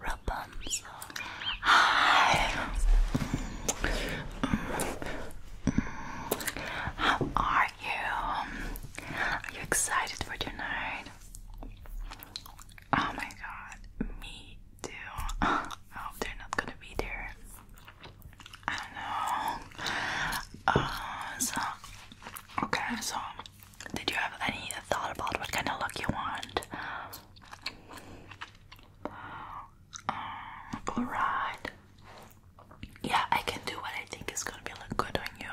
Rapunzel. Hi. Mm. Mm. Mm. How are you? Are you excited for tonight? Oh my god, me too. I hope they're not gonna be there. I don't know. Uh, so, okay, so did you have any thought about what kind of look you want? Alright. Um, yeah, I can do what I think is gonna be look good on you.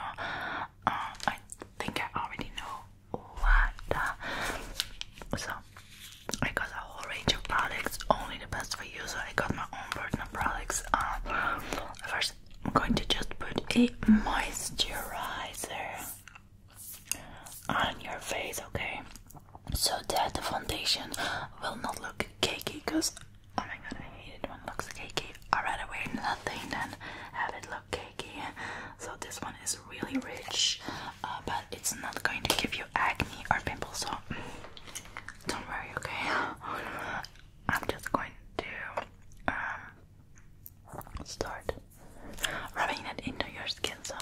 Um, I think I already know what. Uh, so I got a whole range of products, only the best for you. So I got my own personal products. Um, first, I'm going to just put a moisturizer on your face, okay? So that the foundation will not look cakey, because oh my god, I hate it when it looks cakey. i rather wear nothing than have it look cakey. So this one is really rich, uh, but it's not going to give you acne or pimples, so don't worry, okay? I'm just going to um, Start rubbing it into your skin. So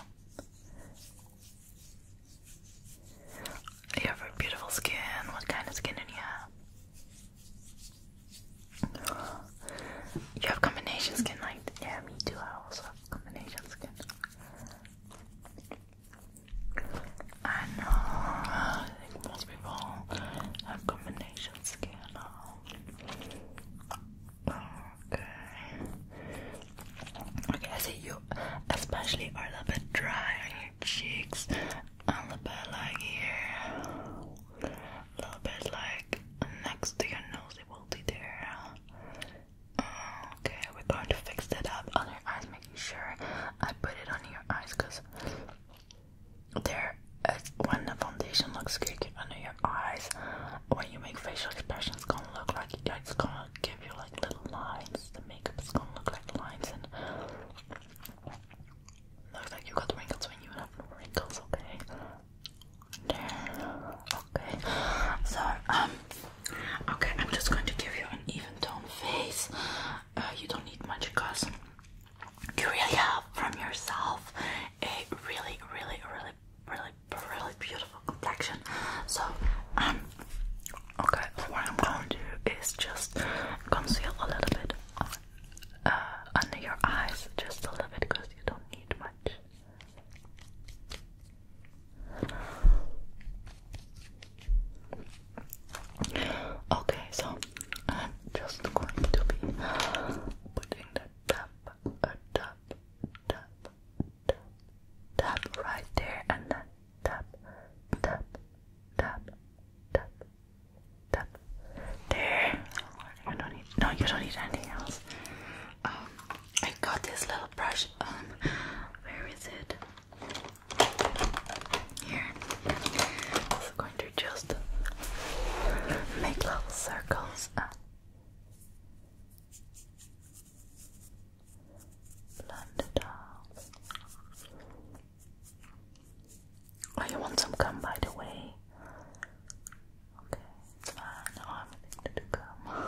you have beautiful skin. What kind of skin do you have? You have combination skin, like yeah, me too. I also have combination skin. I know. I think most people have combination skin. Oh. Okay. Okay, I see you especially are a little bit dry on your cheeks, a little bit like here, a little bit like next to your nose, it will be there. Okay, we're going to fix it up on your eyes, making sure I put it on your eyes because they're it's when the foundation looks good under your eyes, when you make facial expressions, it's gonna look like it's gonna give you like little lines. The makeup is gonna look like lines and looks like you got wrinkles when you have no wrinkles. Okay, there. Okay, so um, okay, I'm just going to give you an even tone face. Uh, you don't need much because you really have from yourself a really, really, really really, really, beautiful complexion. So, um, okay, what I'm going to do is just conceal a little bit uh, under your eyes, just a little bit, because you don't need much. Okay, so I'm just going to be putting that tap tap, tap, tap, tap right there, and then tap, tap, tap, tap, tap. There. You don't need. No, you don't need anything else. Um, I got this little brush. Um, where is it? Here. I'm going to just make little circles. Uh, Blunderdogs. Oh, you want some gum, by the way? Okay, it's fine. I'm addicted to gum. okay,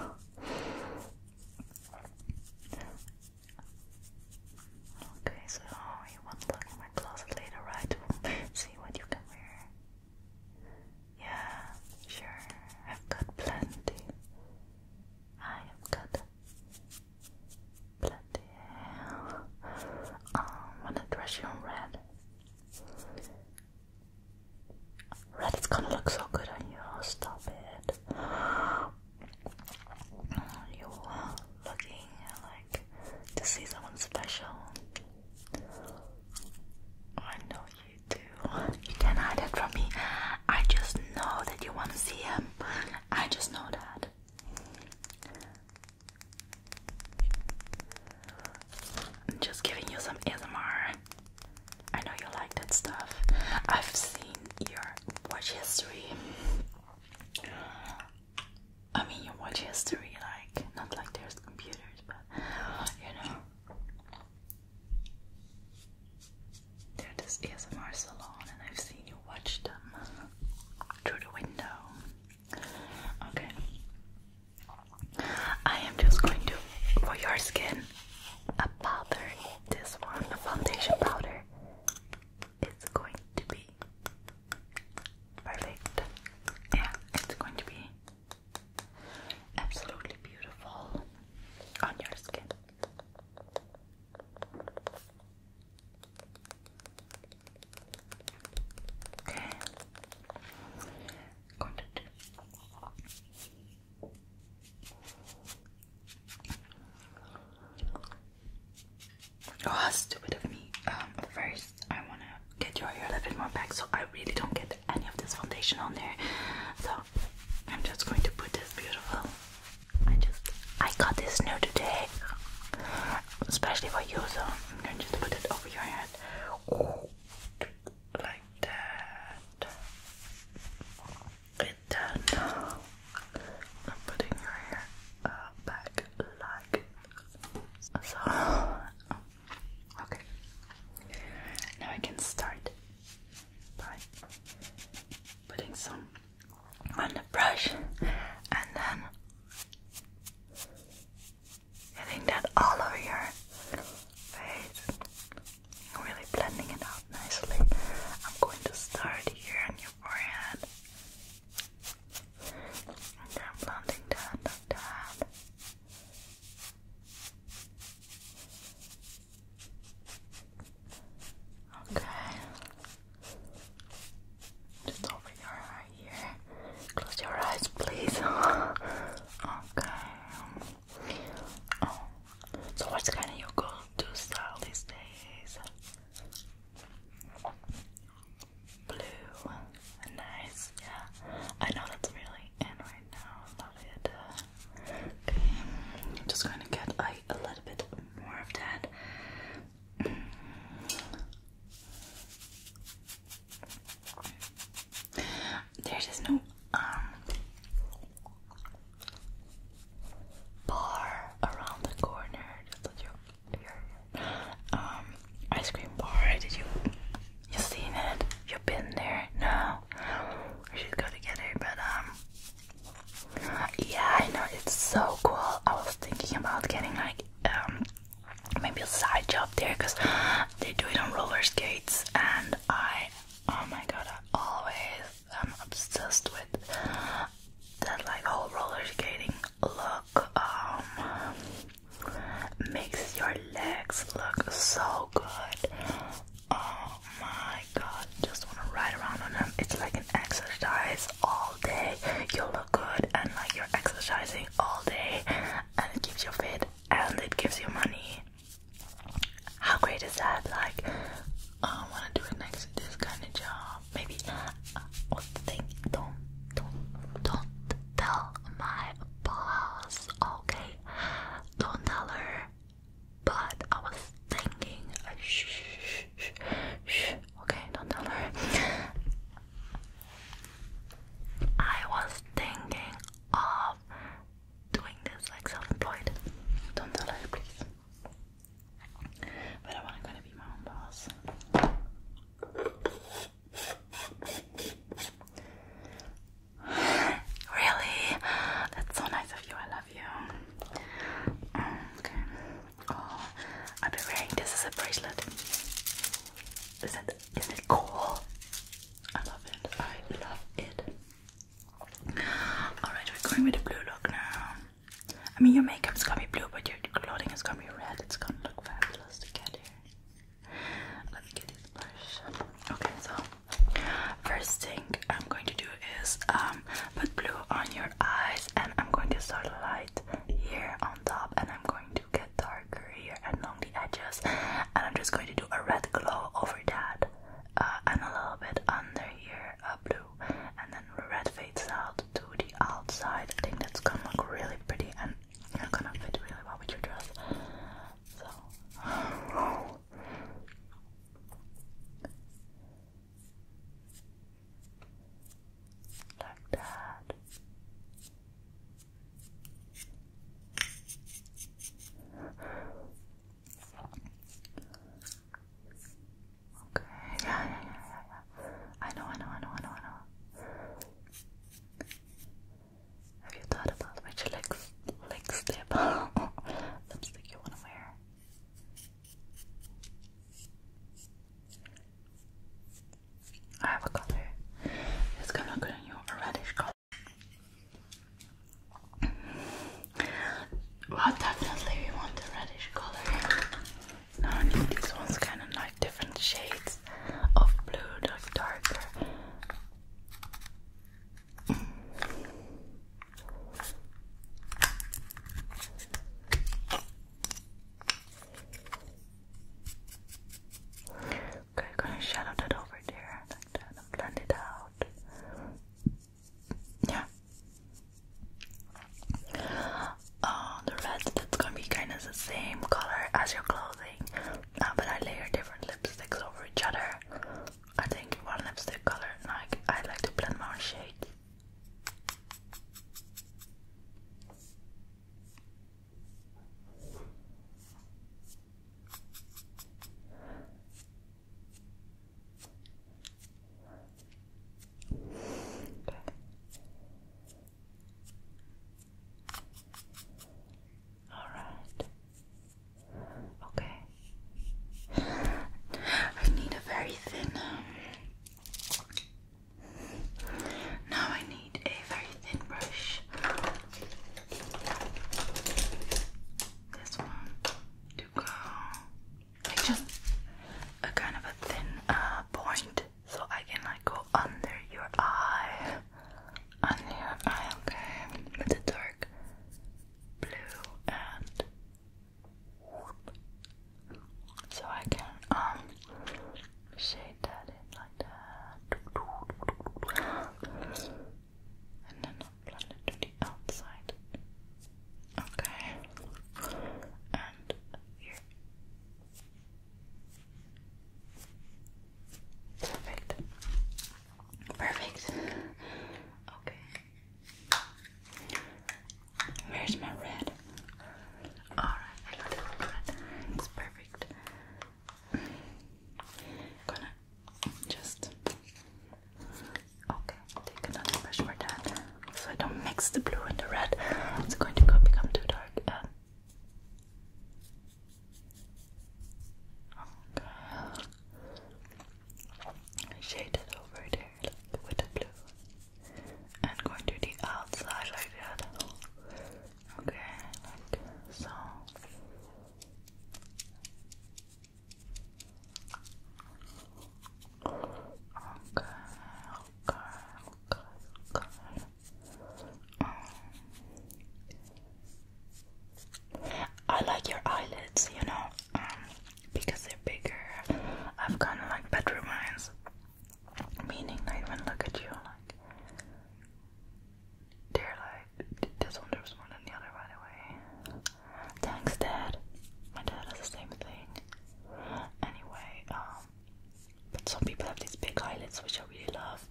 so oh, you want look in my closet later, right? see what you can wear. Yeah, sure. I've got plenty. I have got plenty. Um, wanna dress you in red? Red It's gonna look so good on you. Oh, stop it. you looking like to see someone special. I know you do. You can hide it from me. I just know that you want to see him. I just know that. I'm just giving you some ASMR. I know you like that stuff. I've seen your watch history. I mean, your watch history, like, not like there's computers, but you know. they this ASMR salon, and I've seen you watch them through the window. Okay. I am just going to, for your skin, a powder. This one, a foundation powder. It's going to be perfect. Yeah, it's going to be absolutely beautiful on your skin. Okay, got it. Oh, stupid of me. Um, first I wanna get your hair a little bit more back so I really don't get any of this foundation on there. So I'm just going to put this beautiful. I just I got this new today, especially for you. So I'm going to just put it over your head, like that. It then I'm putting your hair uh, back like so. Okay. Now I can start by putting some on the brush and then getting that all over your face. Really blending it out nicely. I'm going to start here on your forehead. And then blending that that. Okay. Just open your eye here. Close your eyes, please. okay. Um, so what's kind of your go-to style these days? blue. Nice, yeah. I know that's really in right now. Love it. Okay, just going to get a little bit more of that. There is no um bar around the corner. Just like your, um ice cream bar. Did you you seen it? You been there? No. We should go together, but um Yeah, I know it's so cool. I was thinking about getting like um maybe a side job there because they do it on roller skates and I oh my god I always i am obsessed with that like whole roller skating look um makes your legs look so good. Oh my god, just want to ride around on them. It's like an exercise all day. You look good and like you're exercising all day, and it keeps you fit and it gives you money. How great is that? Like, I want to do next this kind of job. Maybe uh, Don't, don't, don't tell my balls, okay? Don't tell her. But I was thinking, shh, shh, shh, shh, okay, don't tell her. I was thinking of doing this like self-employed. Don't tell her, please. But I want to be my own boss. really? That's so nice of you. I love you. Mm, okay. Oh, I'll be wearing this as a bracelet. Is it? Is it cool? I love it. I love it. Alright, we're going with the blue look now. I mean, your makeup makeup's gonna be blue, but your clothing is gonna be red. It's gonna look fabulous together. Let me get this brush. Okay, so first thing I'm going to do is um, put blue on your eyes, and I'm going to start light here on top, and I'm going to get darker here and along the edges, and I'm just going to do a red glow over that, uh, and a little bit under here, a uh, blue, and then red fades out to the outside. I think that's gonna look really pretty and you gonna fit really well with your dress. So like that. Okay. Yeah, yeah, yeah, yeah, yeah. I know, I know, I know, I know, I know. Have you thought about which legs, lip lipstick you want to wear? I have a color. It's gonna go on you reddish color. Well, definitely we want a reddish color. Now I need these ones kind of like different shades shades of darker. Okay, gonna shadow that over there like that and blend it out. Yeah. Uh, the red that's gonna be kind of the same color as your clothing. Uh, but I layer different lipsticks over each other. I think one lipstick color, and I, like to blend my shade. Okay. Alright. Okay. I need a very thin. Um, now I need a very thin brush. This one to go. just a kind of a thin uh, point. So I can like go under your eye. Under your eye, okay. With the dark blue and So I can um shade that in like that. And then I'll blend it to the outside. Okay. And here. Perfect. Perfect. Okay. Where's my red? Alright, I got it red. It's perfect. gonna just Okay, take another brush for that. So I don't mix the blue and the red. It's going to go become too dark Shaded over there, with the blue, and going to the outside like that. Okay, like so. Okay, okay, okay, okay. I like your eyelids, you know, um, because they're bigger. I've kind of like bedroom eyes, meaning I look at you like they're like this one looks more than the other, by the way. Thanks, Dad. My dad has the same thing. Anyway, um, but some people have these big eyelids, which I really love.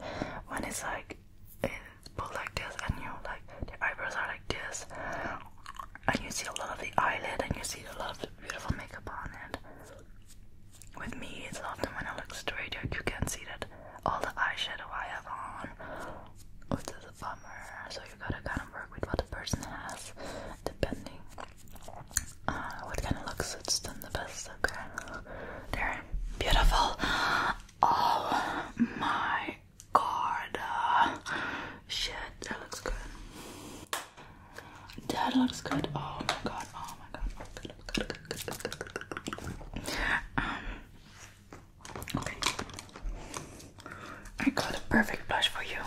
When it's like it's pulled like this, and you know, like the eyebrows are like this, and you see a lot of the eyelid, and you see a lot of beautiful makeup on it. With me, it's often when I look straight, you can see that all the eyeshadow I have on, which is a bummer. So you gotta kind of work with what the person has, depending what kind of look because it's done the best I can. They're beautiful. Oh my god. Shit, that looks good. That looks good. Oh my god. Oh my god. Oh my god. Good, good, good, good, good, good. Um, okay. I got a perfect blush for you.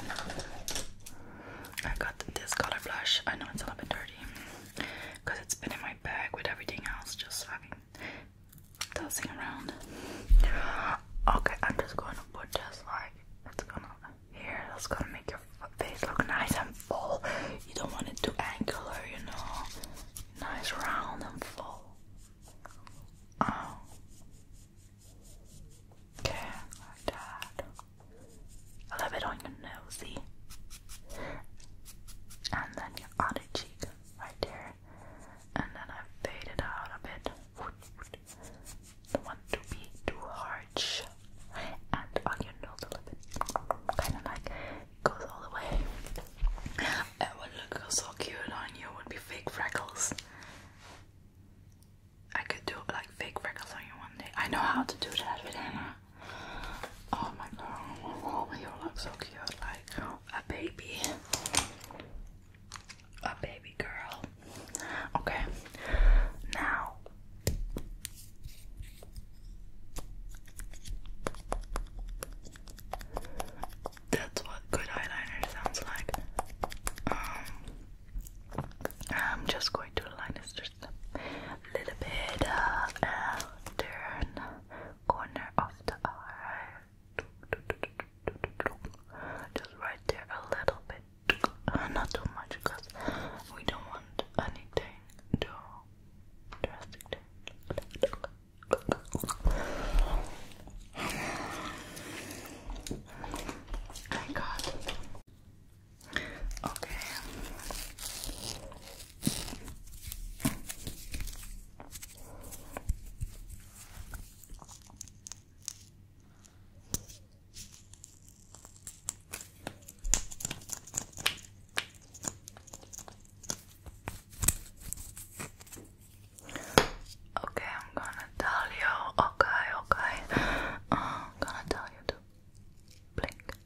I got this color blush. I know it's a little bit dirty because it's been in my bag with everything else just fucking tossing around. Okay, I'm just gonna put this like it's gonna here, that's gonna make your face look nice and full. You don't want it too angular, you know. Nice round and full. Oh. Okay, like that. A little bit on your nose. And then your outer cheek right there. And then I fade it out a bit. Don't want to be too harsh. And on your nose a little bit. Kind of like goes all the way. It would look so cute on you. would be fake freckles. I could do like fake freckles on you one day. I know how to do that with Anna. Oh my god, oh, you look so cute, like a baby. A baby girl. Okay, now. That's what good eyeliner sounds like. Um, I'm just going to align this little bit turn corner of the eye just right there a little bit not too much because we don't want anything to drastic I got okay Okay, I'm gonna tell you. Okay, okay. I'm uh, gonna tell you to blink,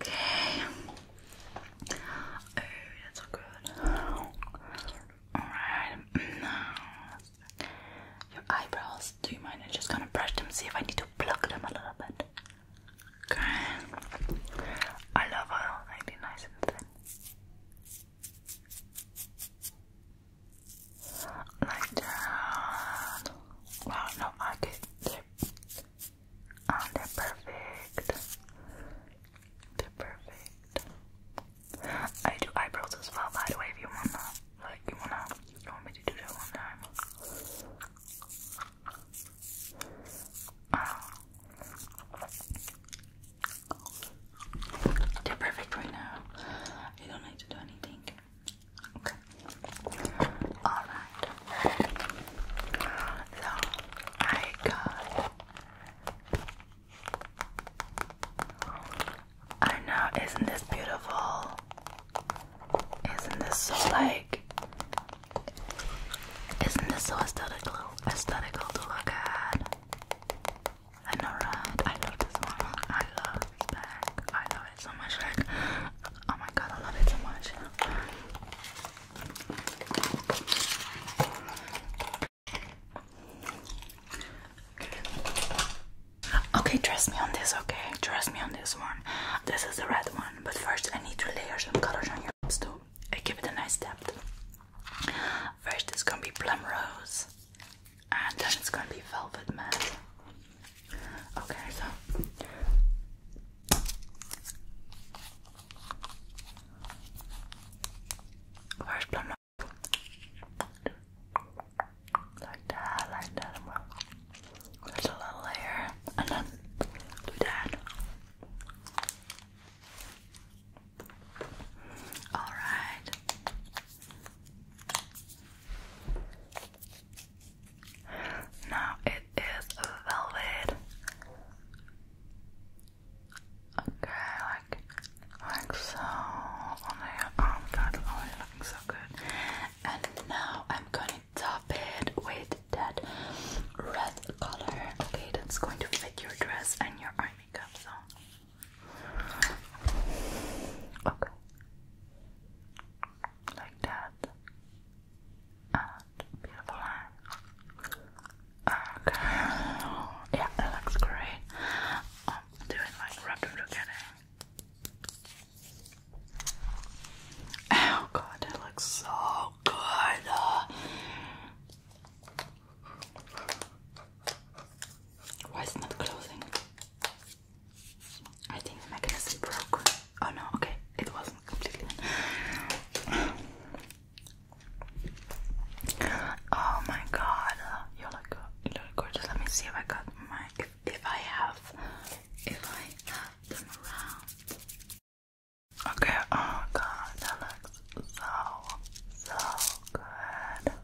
Okay. Oh, that's so good. Alright, now your eyebrows, do you mind? I'm just gonna brush them, see if I need to pluck them a little bit. Okay. I love how they nice and thin. Like that. Wow, no, I did. They're, oh, they perfect. they perfect. I do eyebrows as well, by the way, if you wanna. Like, you wanna. You want me to do that one time? Oh. They're perfect right now. You don't need to do anything. Okay. Alright. So I got I know, isn't this beautiful? Isn't this so like isn't this so aesthetical aesthetical to look at? I love this one. I love Beck. I love it so much. Like, oh my god, I love it so much. Okay, trust me on this, okay? Trust me on this one. This is the red one, but first I need to layer some colors on your lips too. I give it a nice depth. First, it's gonna be plum rose, and then it's gonna be velvet matte. Okay, so. Where's plum rose? Like that, like that. There's a little layer, and then do that. All right. Now it is velvet. Okay, like like so on your arm Oh, you're oh oh, so good. And now I'm gonna top it with that red color. Okay, that's going to fit your dress and your eye makeup. So Okay. Like that. beautiful line. Okay. Yeah, that looks great. Um, I'm doing like wrap them Oh god, that looks so good. Why is not closing? I think the mechanism broke. Oh no, okay, it wasn't completely. Oh my god, you look, you look gorgeous. Let me see if I got my. If, I have. If I have them around. Okay, oh god, that looks so good.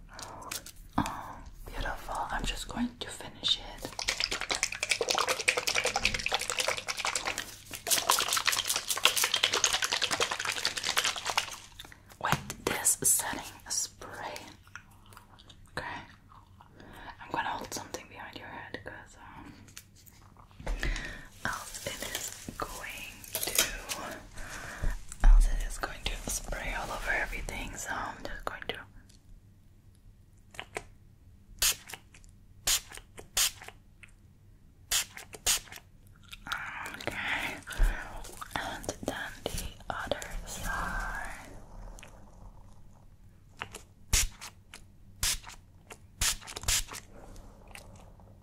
Oh, beautiful. I'm just going to finish it. With this setting spray, okay. I'm gonna hold something behind your head because um, else it is going to else it is going to spray all over everything, so I'm just going to Okay, and then the other side. Okay,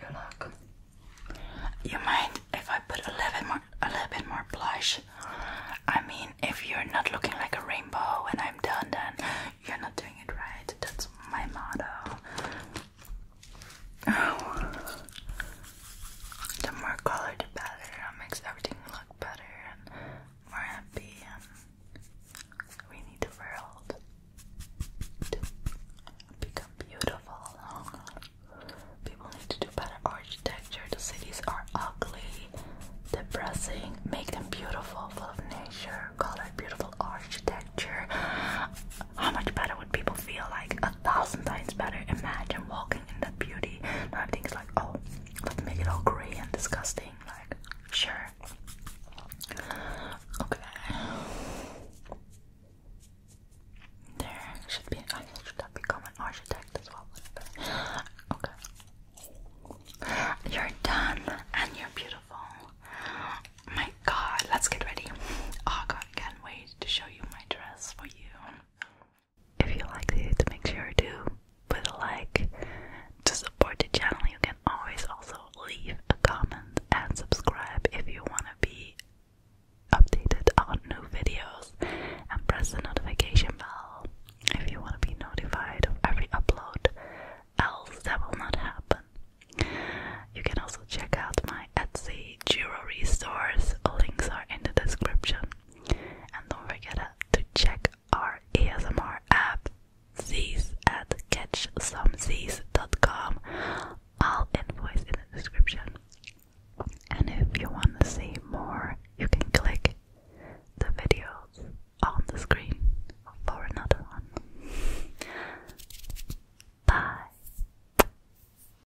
you look. You mind if I put a little bit more, a little bit more blush? I mean, if you're not looking like a rainbow when I'm done, then you're not doing it right. That's my motto. Oh. The more color, the better. It makes everything look better and more happy. And we need the world to become beautiful. People need to do better architecture. The cities are ugly, depressing. Make them beautiful, full of nature, color, beautiful architecture. How much better would people feel like a thousand times better. Imagine walking in that beauty. Now is like, oh, let's make it all gray and disgusting. Like, sure. Okay. There should be. I should become an architect as well. Okay. You're done and you're beautiful. My God, let's get ready. Oh God, can't wait to show you my dress for you. If you liked it, make sure to put a like. To support the channel, you can always also leave a comment and subscribe if you want to be updated on new videos and press the notification bell if you want to be notified of every upload else that will not happen you can also check out my my Etsy jewelry stores. Links are in the description. And don't forget uh, to check our ASMR app, Z's at catchsomez's.com. All invoice in the description. And if you want to see more, you can click the videos on the screen for another one. Bye.